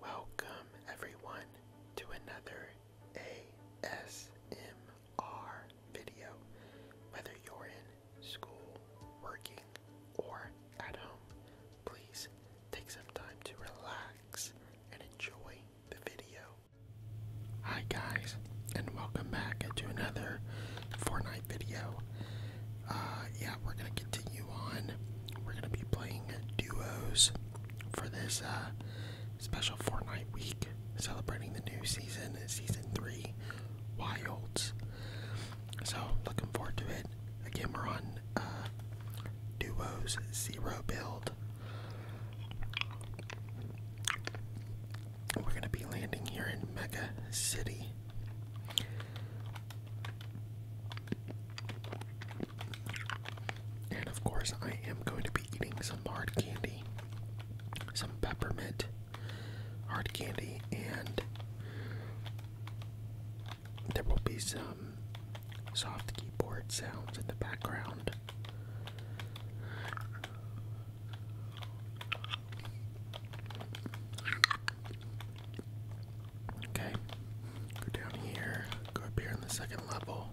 Welcome, everyone, to another ASMR video. Whether you're in school, working, or at home, please take some time to relax and enjoy the video. Hi, guys, and welcome back to another Fortnite video. Uh, yeah, we're gonna continue on. We're gonna be playing duos for this uh, special Fortnite week, celebrating the new season, season three, Wilds. So looking forward to it. Again, we're on uh, duos zero build. We're gonna be landing here in Mega City. And of course, I am going to be eating some hard candy, some peppermint hard candy, and there will be some soft keyboard sounds in the background. Okay, go down here, go up here on the second level.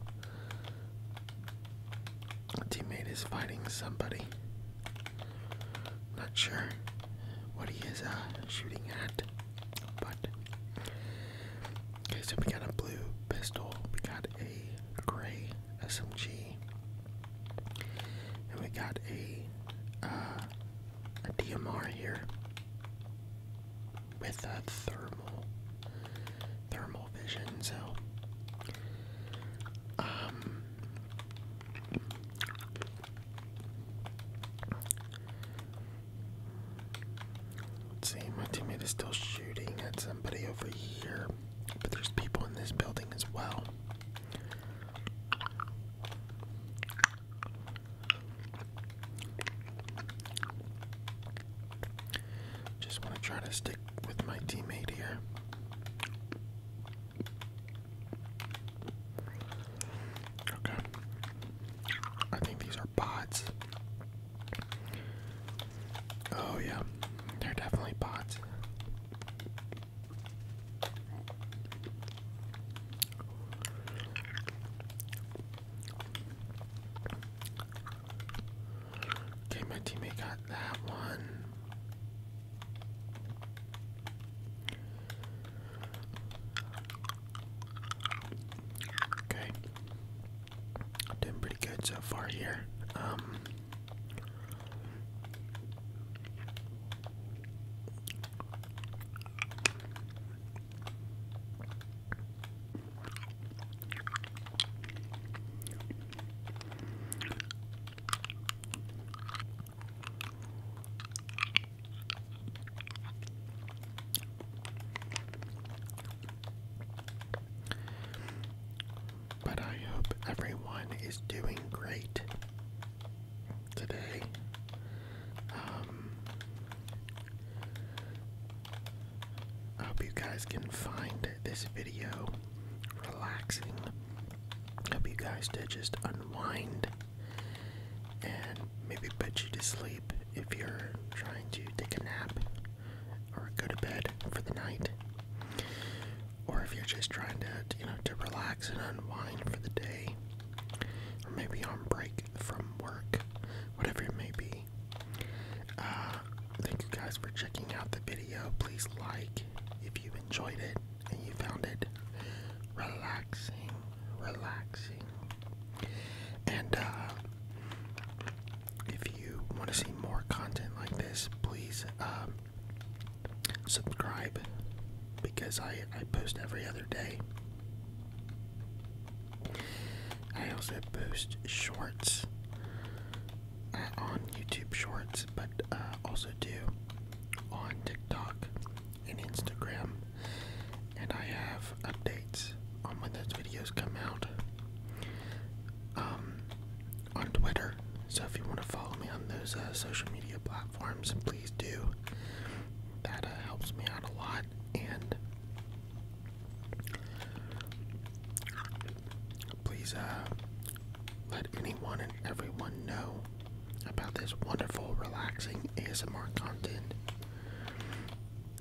teammate is fighting somebody. Not sure what he is uh, shooting at, but okay. So we got a blue pistol, we got a gray SMG, and we got a uh, a DMR here with a thermal thermal vision, so um see, my teammate is still shooting at somebody over here, but there's people in this building as well. Just want to try to stick with my teammate here. Okay. I think these are bots. Oh, yeah. They're definitely bots. Okay, my teammate got that one. Okay. doing pretty good so far here. Um but I hope everyone is doing great today. Um, I hope you guys can find this video relaxing. I hope you guys did just unwind and maybe put you to sleep if you're trying to take a nap or go to bed for the night. Or if you're just trying to, you know, to relax and unwind for the day or maybe on break from work, whatever it may be. Uh, thank you guys for checking out the video. Please like if you enjoyed it and you found it relaxing, relaxing. And uh, if you want to see more content like this, please um, subscribe because I, I post every other day. I also post shorts uh, on YouTube Shorts, but uh, also do on TikTok and Instagram. And I have updates on when those videos come out um, on Twitter. So if you want to follow me on those uh, social media platforms, please do. That uh, helps me out a lot, and please uh, let anyone and everyone know about this wonderful, relaxing ASMR content.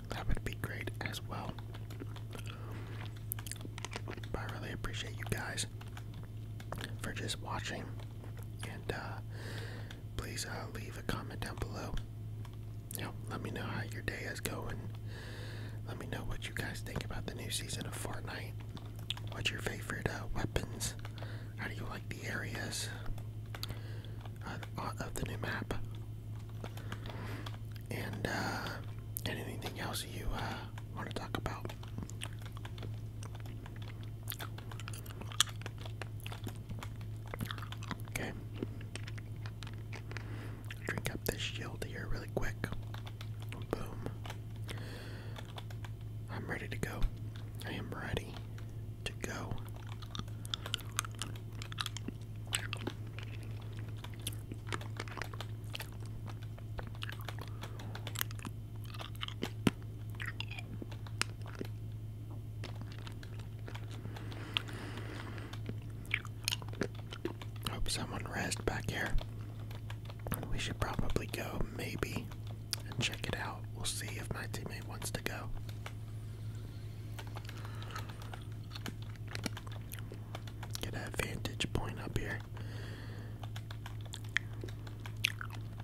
That would be great as well. I really appreciate you guys for just watching and uh, please uh, leave a comment down below. let me know how your day is going. Let me know what you guys think about the new season of Fortnite. What's your favorite uh, weapons? How do you like the areas uh, of the new map? And anything else you want to talk about? Okay. Drink up this shield here really quick. Boom. I'm ready to go. I am ready to go. Hope someone rests back here. We should probably go, maybe, and check it out. We'll see if my teammate wants to go. Get a vantage point up here.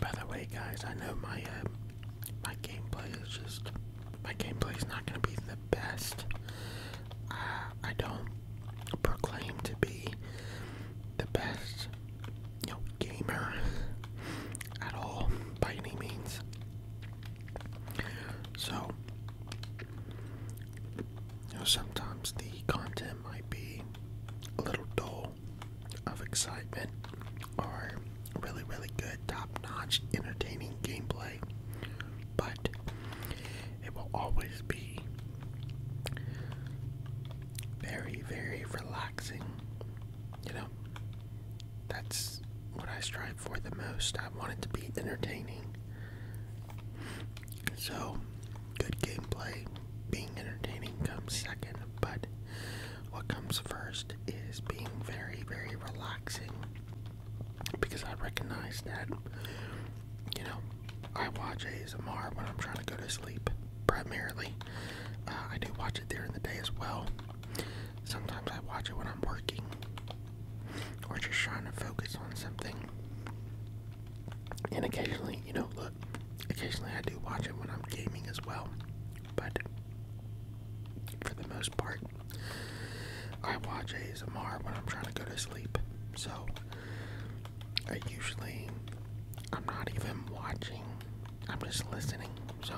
By the way, guys, I know my uh, my gameplay is just my gameplay is not going to be the best. Uh, I don't proclaim to be the best, you gamer at all by any means. So sometimes the content might be a little dull of excitement or really, really good, top notch, entertaining gameplay, but it will always be very, very relaxing. You know, that's what I strive for the most. I want it to be entertaining. So, good gameplay, being entertaining comes second, but what comes first is being very, very relaxing because I recognize that, you know, I watch ASMR when I'm trying to go to sleep primarily. Uh, I do watch it during the day as well. Sometimes I watch it when I'm working, or just trying to focus on something. And occasionally, you know, look, occasionally I do watch it when I'm gaming as well, but for the most part, I watch ASMR when I'm trying to go to sleep. So I usually I'm not even watching. I'm just listening. So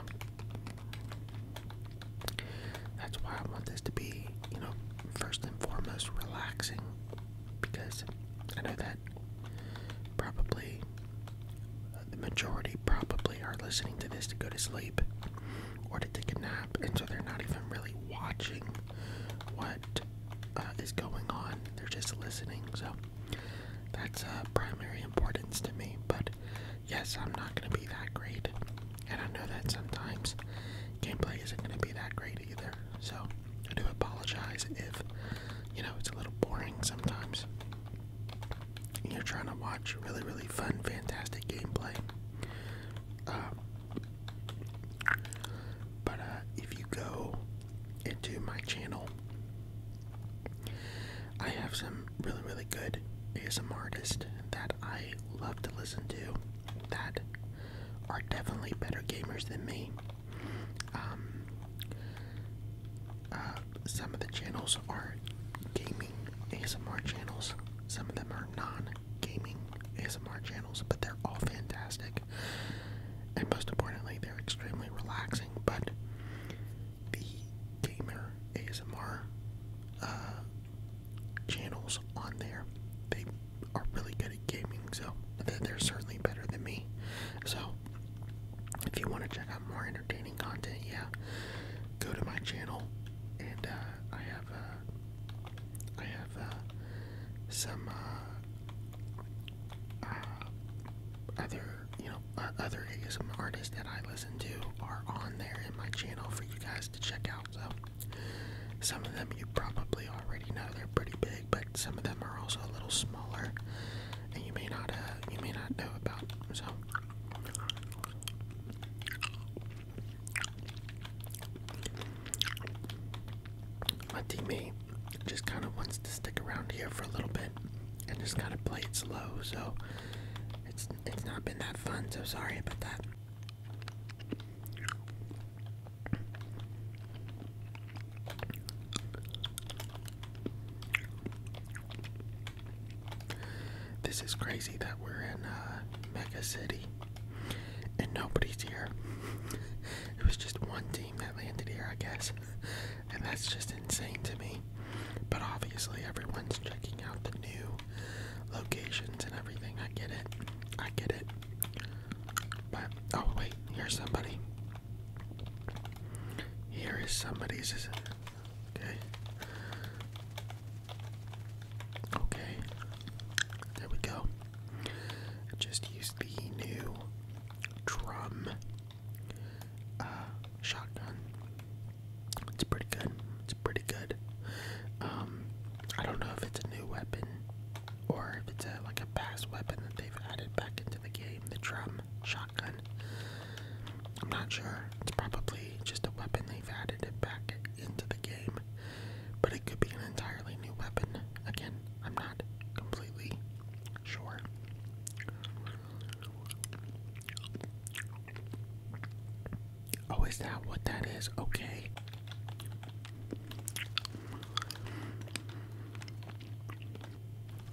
that's why I want this to be, you know, first and foremost relaxing because I know that probably uh, the majority probably are listening to this to go to sleep or to take a nap, and so they're not even really watching what uh, is going on, they're just listening. So that's a uh, primary importance to me, but yes, I'm not going to be that great, and I know that sometimes gameplay isn't going to be that great either. So I do apologize if, you know, it's a little boring sometimes. you're trying to watch really, really fun, fantastic gameplay. Um, but uh, if you go into my channel, I have some really, really good ASMR artists that I love to listen to that are definitely better gamers than me. Um, uh, some of the channels are gaming ASMR channels, some of them are non gaming ASMR channels, but they're all fantastic. And most importantly, they're extremely relaxing. But the gamer ASMR uh, channels on there. They are really good at gaming, so they're certainly better than me. So, if you want to check out more entertaining content, yeah, go to my channel, and uh, I have uh, I have uh, some uh, uh other you know other ASM artists that I listen to are on there in my channel for you guys to check out. So. Some of them you probably already know they're pretty big, but some of them are also a little smaller, and you may not uh, you may not know about. So, my teammate just kind of wants to stick around here for a little bit and just kind of play it slow. So, it's it's not been that fun. So sorry about that. This is crazy that we're in uh, Mega City and nobody's here. it was just one team that landed here, I guess, and that's just insane to me. But obviously, everyone's checking out the new locations and everything. I get it. I get it. oh wait, here's somebody. Here is somebody's is Okay. Okay. There we go. just used the new drum uh, shotgun. It's pretty good. It's pretty good. Um, I don't know if it's a new weapon or if it's like a past weapon that they've added back into the game. The drum shotgun. I'm not sure. It's probably just a weapon they've added it back into the game, but it could be an entirely new weapon. Again, I'm not completely sure. Oh, is that what that is? Okay.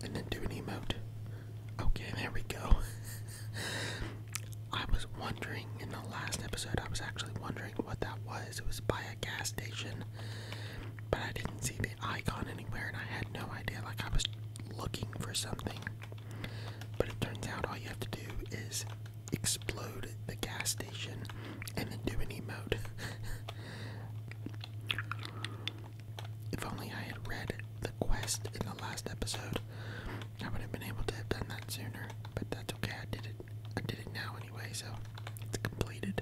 And then do Okay, there we go. I was wondering in the last episode, I was actually wondering what that was. It was by a gas station, but I didn't see the icon anywhere and I had no idea. Like, I was looking for something but it turns out all you have to do is explode the gas station and then do an emote. if only I had read the quest in the last episode, I would have been able to have done that sooner. But that's okay, I did it. I did it now anyway, so it's completed.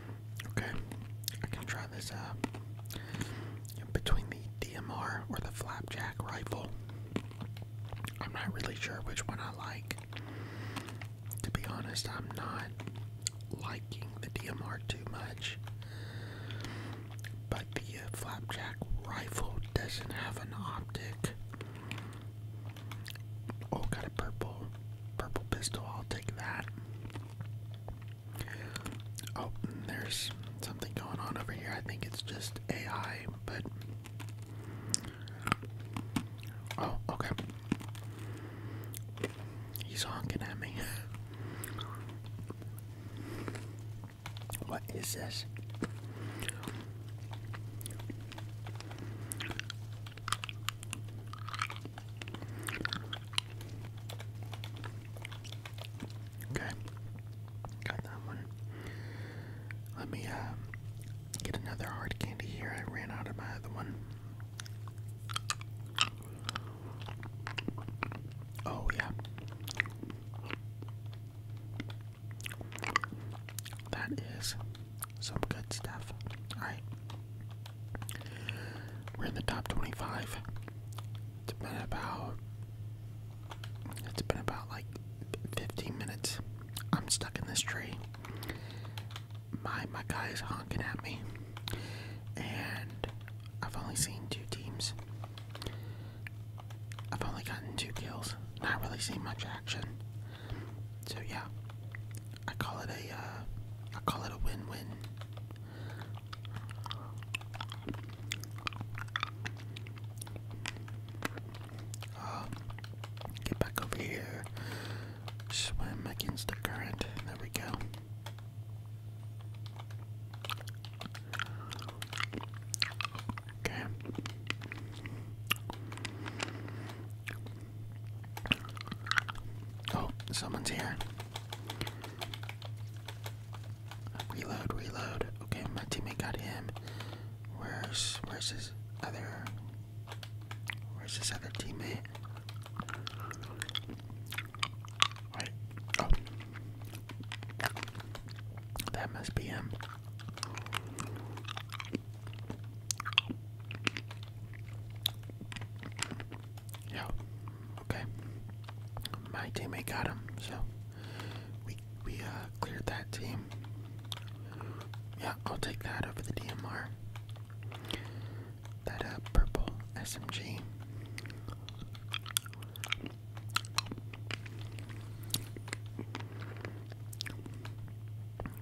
Okay, I can try this between the DMR or the flapjack rifle. I'm not really sure which one I like. To be honest, I'm not liking the DMR too much. But the uh, flapjack rifle doesn't have an optic. Oh, got a purple, purple pistol. I'll take that. Oh, there's something going on over here. I think it's just AI, but. Oh, okay. He's honking at me. What is this? Okay, got that one. Let me um, get another hard candy here. I ran out of my other one. Oh, yeah. That is some good stuff. Alright. We're in the top 25. It's been about. It's been about like 15 minutes. I'm stuck in this tree. My my guy is honking at me, and I've only seen two teams. I've only gotten two kills. Not really seen much action. So yeah, I call it a uh, I call it a win-win um, get back over here. Swim against the current. There we go. Okay. Oh, someone's here. Reload, reload. Okay, my teammate got him. Where's where's his other where's this other teammate? Right. Oh. That must be him. Yeah. Okay. My teammate got him, so we we uh cleared that team. Yeah, I'll take that over the DMR. That uh purple SMG.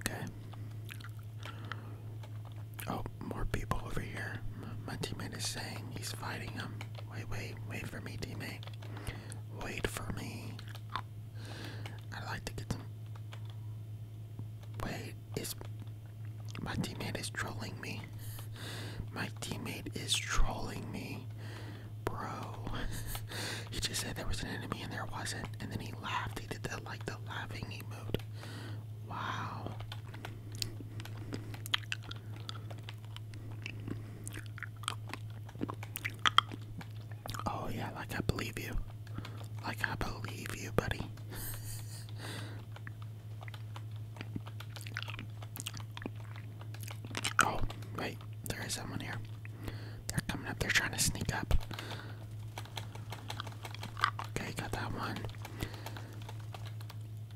Okay. Oh, more people over here. My teammate is saying he's fighting them. Wait, wait, wait for me, teammate. Wait for me. I'd like to get some. Wait, is. My teammate is trolling me. My teammate is trolling me. Bro. he just said there was an enemy and there wasn't. And then he laughed. He did that like the laughing emote. Wow. Oh, yeah, like I believe you. Like I believe you, buddy. oh, wait, there is someone here. They're coming up, they're trying to sneak up. Okay, got that one.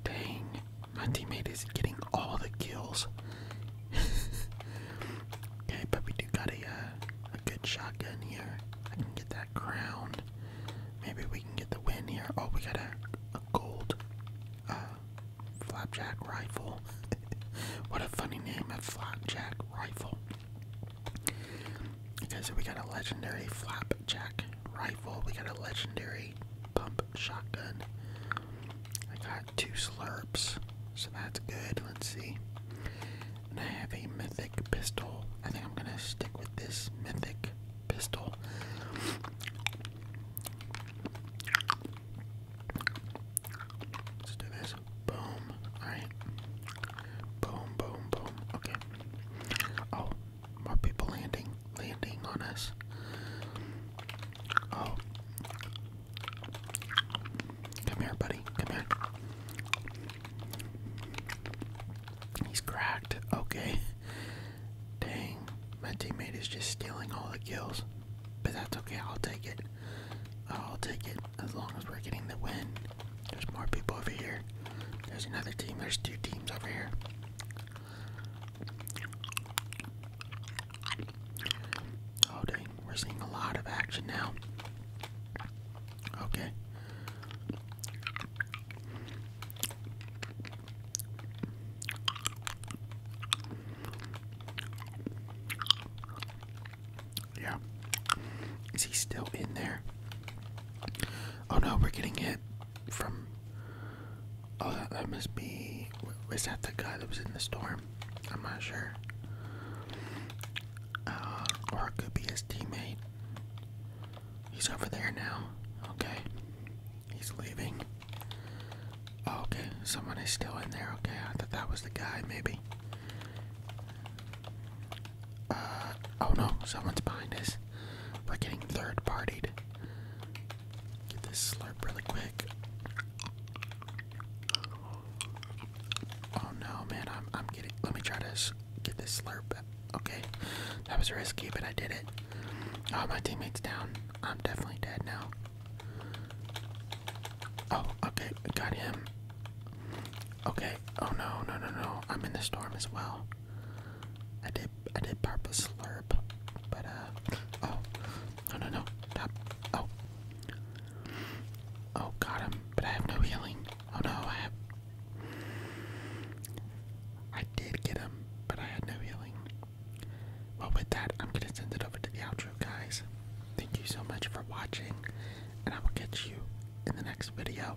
Dang, my teammate is getting all the kills. okay, but we do got a uh, a good shotgun here. I can get that crown. Maybe we can get the win here. Oh, we got a, a gold uh, flapjack rifle. what a funny name, a flapjack rifle. Okay, so we got a legendary flapjack rifle. We got a legendary pump shotgun. I got two slurps, so that's good. Let's see. And I have a mythic pistol. I think I'm gonna stick with this mythic pistol. Let's do this. Boom. Alright. Boom, boom, boom. Okay. Oh, more people landing, landing on us. Oh. Come here, buddy. Come here. He's cracked. Okay. Dang. My teammate is just stealing all the kills. But that's okay. I'll take it. I'll take it as long as we're getting the win. There's more people over here. There's another team. There's two teams over here. Oh dang, we're seeing a lot of action now. Okay. Yeah. Is he still in there? Oh no, we're getting hit from. Oh, that, must be. Was that the guy that was in the storm? I'm not sure. Uh, or it could be his teammate. He's over there now. Okay. He's leaving. Oh, okay, someone is still in there. Okay, I thought that was the guy, maybe oh no, someone's behind us. We're getting third partied. Get this slurp really quick. Oh no, man, I'm, I'm getting. Let me try to get this slurp. Okay, that was risky, but I did it. Oh, my teammate's down. I'm definitely dead now. Oh, okay, got him. Okay. Oh no, no, no, no. I'm in the storm as well. I did I did purpose slurp. But uh oh no no no. Stop. Oh Oh got him. But I have no healing. Oh no, I have I did get him, but I had no healing. Well with that I'm gonna send it over to the outro guys. Thank you so much for watching and I will catch you in the next video.